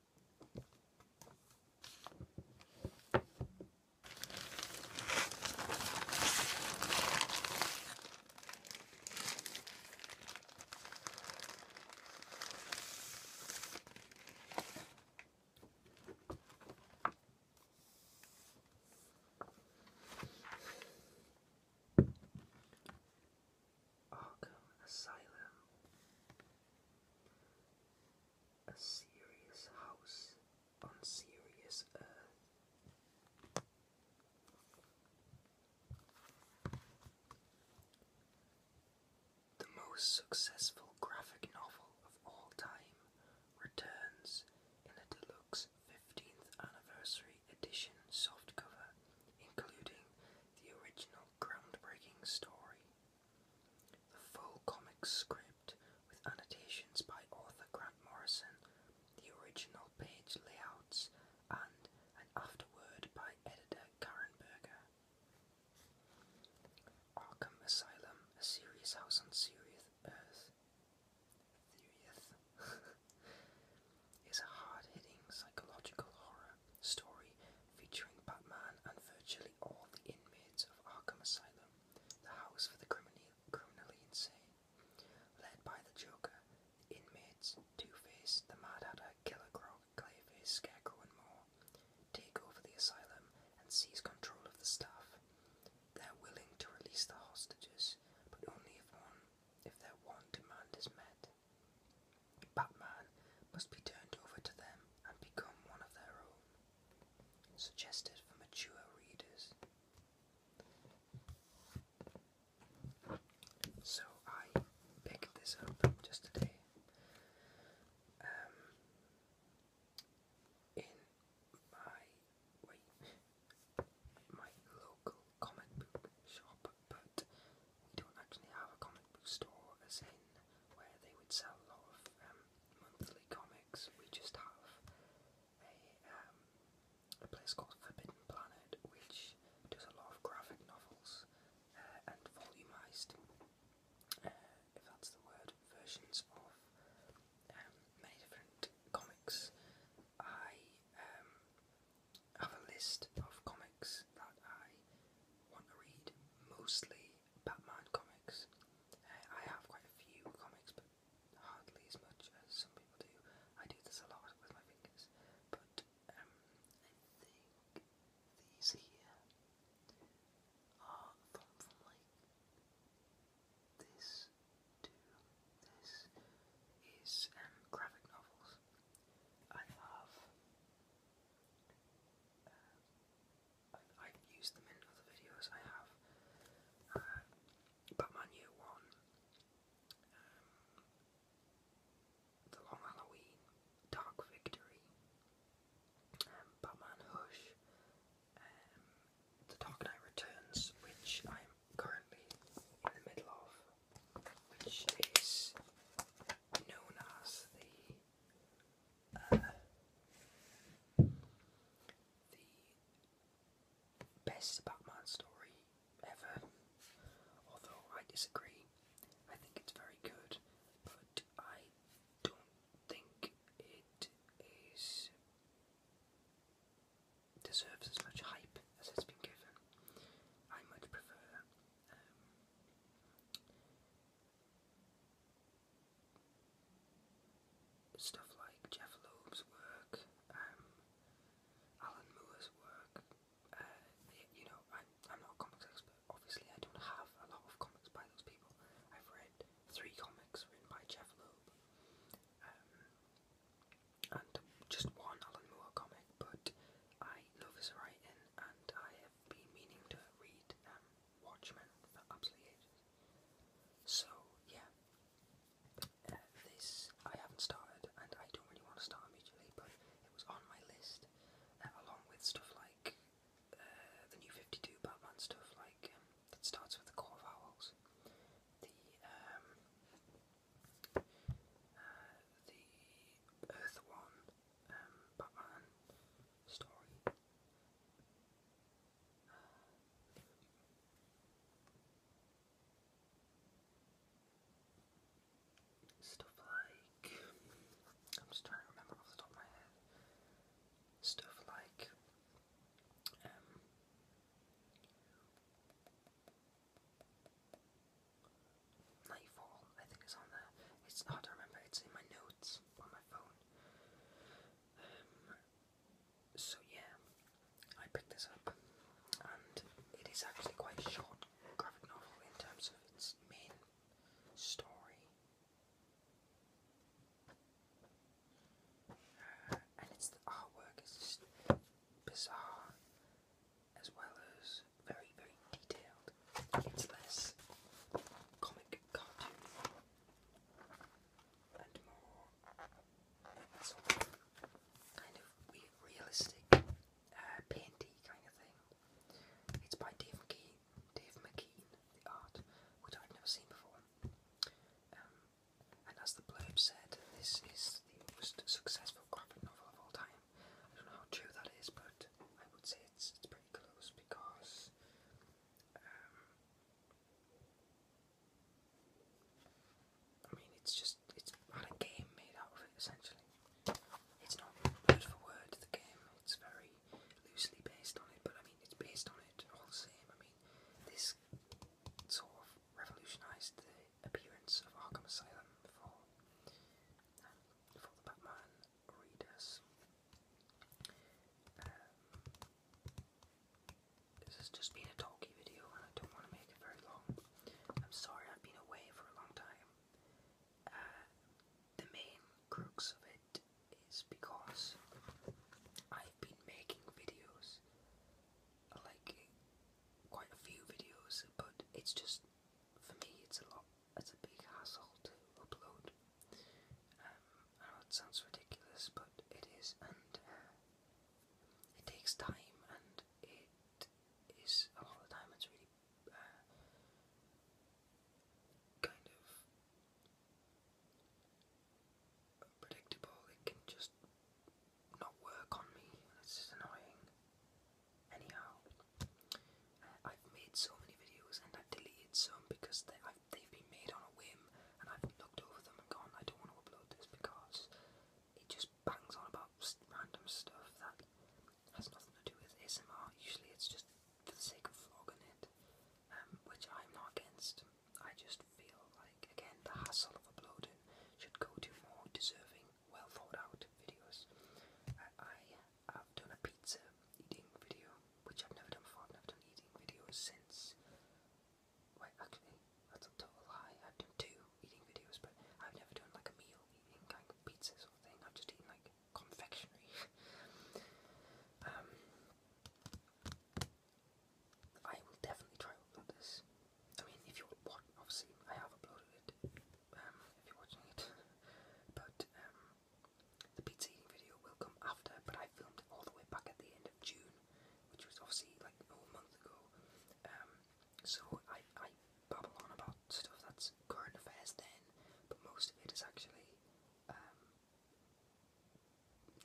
Arkham Asylum a serious house on serious earth. The most successful graphic novel of all time returns in a deluxe 15th anniversary edition softcover, including the original groundbreaking story. The full comic script, with annotations by author Grant Morrison, the original page layouts, and an afterword by editor Karen Berger. Arkham Asylum, a serious house on serious Earth. is a hard hitting psychological horror story featuring Batman and virtually all the inmates of Arkham Asylum, the house for the criminally, criminally insane. Led by the Joker, the inmates, Two-Face, the Mad Hatter, Killer Croc, Clayface, Scarecrow and more, take over the asylum and seize control of the staff. They're willing to release the hostages, but only if one if their one demand is met. Batman must be turned over to them and become one of their own. Suggested for mature readers. So I picked this up just today. Um, in my wait, my local comic book shop, we don't actually have a comic store, as in where they would sell a lot of um, monthly comics. We just have a, um, a place called Forbidden Planet, which does a lot of graphic novels uh, and volumized, uh, if that's the word, versions of um, many different comics. I have a list of comics that I want to read, mostly Batman comics. Uh, I have quite a few comics, but hardly as much as some people do. I do this a lot with my fingers, but um, these here are from, like this to this is um, graphic novels. I have. Um, I, i them in other videos. I have uh, Batman Year One, um, The Long Halloween, Dark Victory, um, Batman Hush, The Dark Knight Returns, which I currently in the middle of, which is known as the uh, the best Batman story ever. Although I disagree, I think it's very good, but I don't think it is deserves as much hype as it's been given. I much prefer um, stuff like Jeff Loeb's work, um, Alan Moore's work. Uh, you know, I'm, I'm not a comics expert. Obviously, I don't have a lot of comics by those people. I've read three comics written by Jeff Loeb. Um, and just one Alan Moore comic, but I love his writing and I have been meaning to read um, Watchmen for absolutely ages. So, yeah, uh, this I haven't started and I don't really want to start immediately, but it was on my list uh, along with stuff like uh, the new 52 Batman stuff, like um, that starts with the core vowels the um, uh, the Earth One um, Batman story. Stuff like I'm just trying to remember off the top of my head. Stuff like um, Nightfall, I think it's on there. It's hard to remember, it's in my notes on my phone. Um, so yeah, I picked this up and it is actually quite short graphic novel in terms of its main story and it's the artwork is just bizarre as well as very very detailed. It's less comic cartoon and more kind of realistic uh, kind of thing. It's by Dave McKean, Dave McKean, the art, I've never seen before. Um, and as the blurb said, this is the most successful graphic novel of all time. I don't know how true that is, but I would say it's it's pretty close because um, I mean it's just it's had a game made out of it essentially. It's not word for word the game, it's very loosely based on it, but I mean it's based on it all the same. I mean this sort of revolutionised the appearance of Arkham Asylum for, um, for the Batman readers. Um, this has just been a talky video and I don't want to make it very long. I'm sorry I've been away for a long time. Uh, the main crux of it it's because I've been making videos, like quite a few videos, but it's just for me it's a lot, it's a big hassle to upload. Um, I know it sounds ridiculous, but it is, and uh, it takes time, and it is a lot time. It's really uh, kind of predictable, it can just not work on me, it's just annoying. Anyhow, uh, I've made so many videos and i deleted some because they, have been made on a whim and I've looked over them and gone, I don't want to upload this because it just bangs on about random stuff that has nothing to do with ASMR. Usually it's just for the sake of vlogging it. Um, which I'm against. I just feel like, again, the hassle of uploading should go to more deserving, well thought out videos. I have done a pizza eating video, which I've never done before. I've done eating videos since. Wait, actually, that's a total lie. I've done two eating videos, but I've never done like a meal eating, kind of pizza sort of thing. I've just eaten like confectionery. um, I will definitely try to this. I mean, if you want, watching, obviously, I have uploaded it. Um, if you're watching it, but um, the pizza eating video will come after. But I filmed it all the way back at the end of June, which was obviously like a month ago. Um, so I I babble on about stuff that's was current affairs then, but most of it is actually um,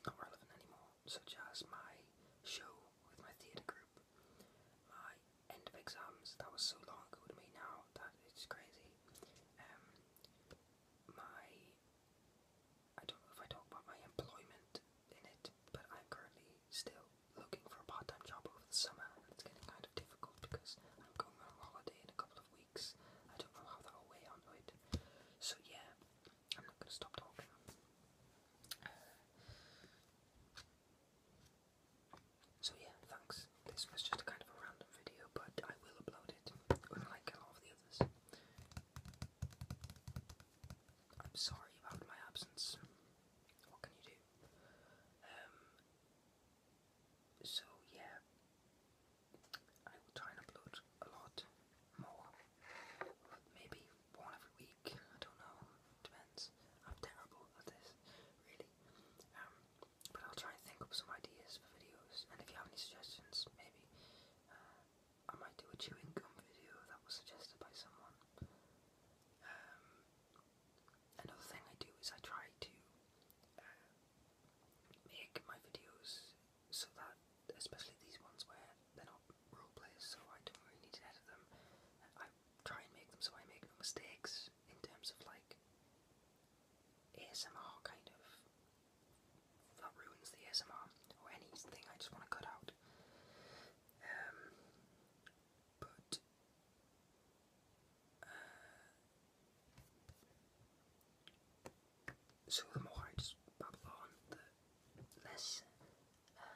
not relevant anymore, such as my show with my theatre group, my end of exams, that was so long ago to me now that it's crazy. Um, my, I don't know if I talk about my employment in it, but I'm currently still looking for a part time job over the summer, and it's getting kind of difficult because I'm going on holiday in a couple weeks. I don't know how that'll weigh onto it. So yeah, I'm not going to stop talking. so yeah, thanks. This was just kind of a random video, but I will upload it, unlike a lot of the others. I'm sorry about my absence. What can you do? Um, so yeah, I will try and upload a lot more, but maybe one every week. I don't know. Depends. I'm terrible at this, really. Um, but I'll try and think up some ideas for videos. And if you have any suggestions, maybe uh, I might do a chewing gum video that was suggested by someone. Um, Another thing I do is I try to uh, make my videos so that, especially these ones where they're not role plays, so I don't really need to edit them. I try and make them so I make no mistakes in terms of like ASMR kind of that ruins the ASMR or anything I just want to cut out. Um, but so the more I just babble on, the less, uh,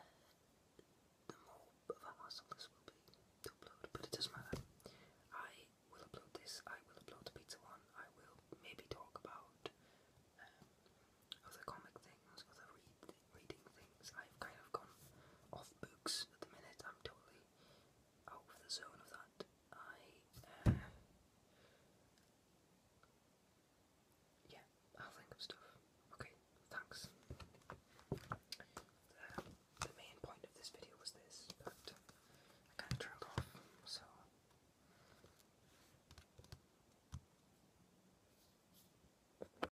the more of a this will be upload, but it does I will upload this, I will upload the pizza one, I will maybe talk about um, other comic things, other read reading things. I've kind of gone off books at the minute. I'm totally out of the zone of that. I, uh, yeah, i think of stuff. Okay, thanks. the main point of this video was this, but I kind of trailed off, so.